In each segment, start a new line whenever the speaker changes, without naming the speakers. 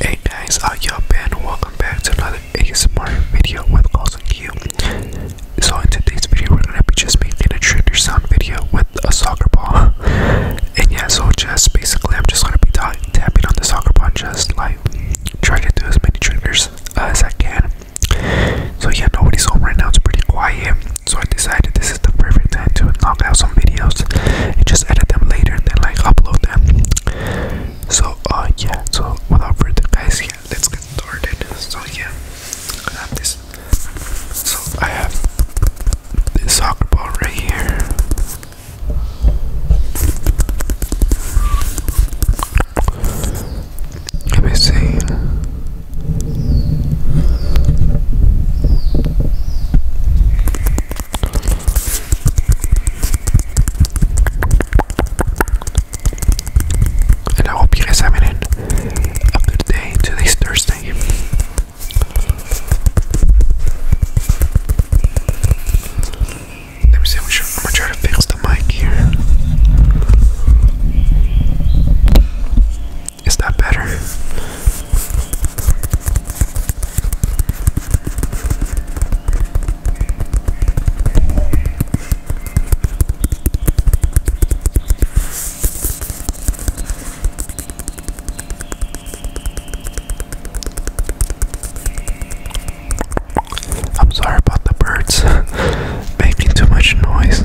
Hey guys, I'm your been? Welcome back to another ASMR video with Carlson Q. So in today's video, we're gonna be just making a trigger sound video with a soccer ball. And yeah, so just basically, I'm just gonna be tapping on the soccer ball, just like trying to do as many triggers as I can. So yeah, nobody's home right now. It's pretty quiet. So I decided to this is the perfect time to knock out some videos and just edit them later and then like upload them. So uh, yeah, so without further guys let's get started. So yeah, I have this so I have this soccer ball right here. Let me see. And I hope you guys having a good today, Today's Thursday. Let me see. I'm gonna try to fix the mic here. Is that better? I'm sorry about the birds making too much noise.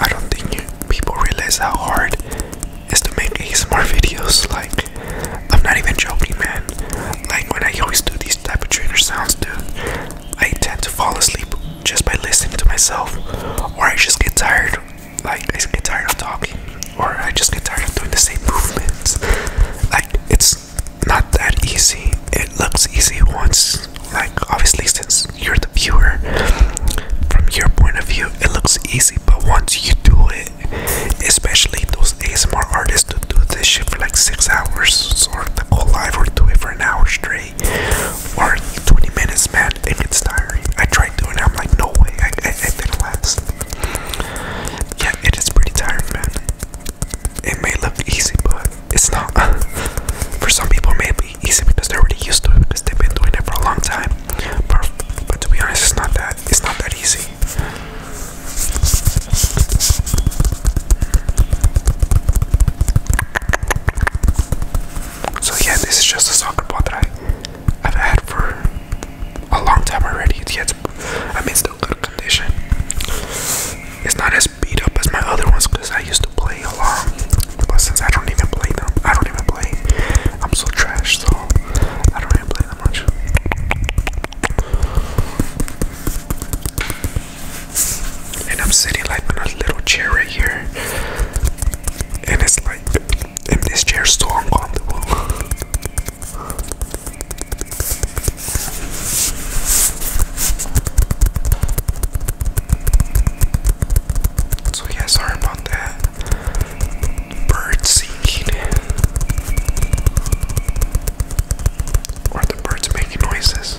I don't think people realize how hard it is to make these ASMR videos. Like, I'm not even joking, man. Like, when I always do these type of trainer sounds, dude, I tend to fall asleep just by listening to myself, or I just get tired like I get tired of talking, or I just get tired of doing the same movements. Like it's not that easy. It looks easy once, like obviously since you're the viewer, from your point of view, it looks easy. But once you do it, especially those ASMR artists who do this shit for like six hours, or the whole live, or do it for an hour straight, or 20 minutes, man that it gets tiring. I tried doing it. I'm like, no way. I, I, I did last. Yeah, it is pretty tiring, man. It may look easy, but it's not. for some people, it may be easy because they're already used to it because they've been doing it for a long time. But, but to be honest, it's not that. It's not that easy. So yeah, this is just a soccer ball that I I've had for a long time already. It's, yet I am in still good condition. It's not as beat up as my other ones because I used to play a lot. But since I don't even play them, I don't even play. I'm so trash, so I don't even play that much. And I'm sitting like on a little chair right here. And it's like and this chair is too uncomfortable. so yeah, sorry about that. Bird singing. Or the birds making noises.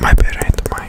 My bed ain't mine.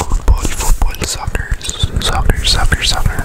Football, football, soccer, soccer, soccer, soccer, soccer.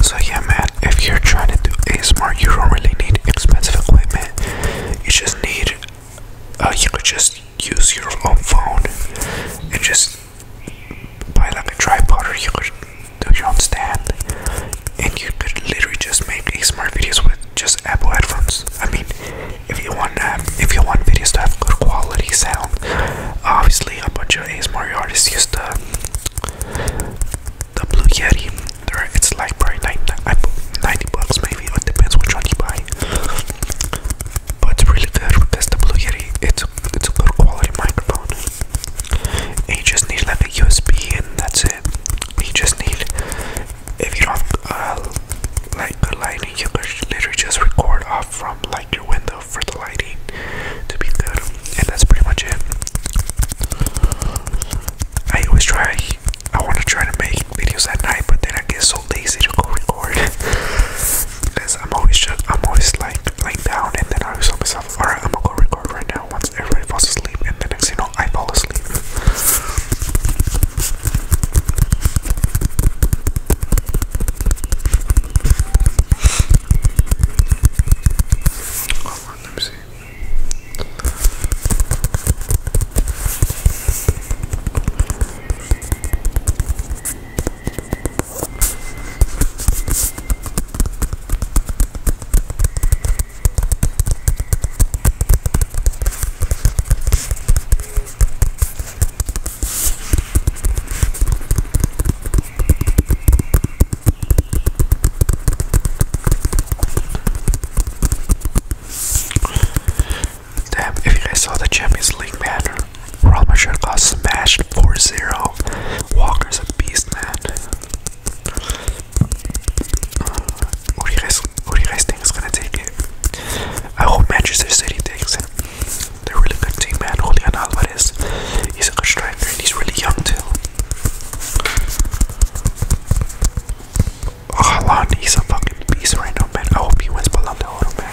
So yeah man, if you're trying to do ASMR, you don't really need expensive equipment. You just need, uh, you could just use your own phone and just buy like a tripod or you could do you stand, And you could literally just make ASMR videos with just Apple headphones. I mean, if you want um, if you want videos to have good quality sound, obviously a bunch of ASMR artists use the the Blue Yeti. it's like probably 90, 90 bucks maybe. It depends which one you buy. But it's really good because the Blue Yeti. It's it's a good quality microphone you just need like a USB and that's it. You just need if you don't have uh, like good lighting, you could literally just record off from like your window for the lighting to be good, and that's pretty much it. I always try. I want to try to make videos at night, but then I get so lazy to go record because I'm always just I'm always like laying down, and then I always tell myself, "All right, I'm gonna go record right now." once everybody falls asleep, and the next you know, I fall asleep. let me see. Damn, if you guys saw the Champions League banner, Ramacher got smashed 4-0. Walker's a beast, man. What do you think is gonna take it? I hope Manchester City takes it. They're really good team, man. Julian Alvarez, he's a striker and he's really young too. Haaland, he's a fucking beast right now, man. I hope he wins Ballon d'Or, man.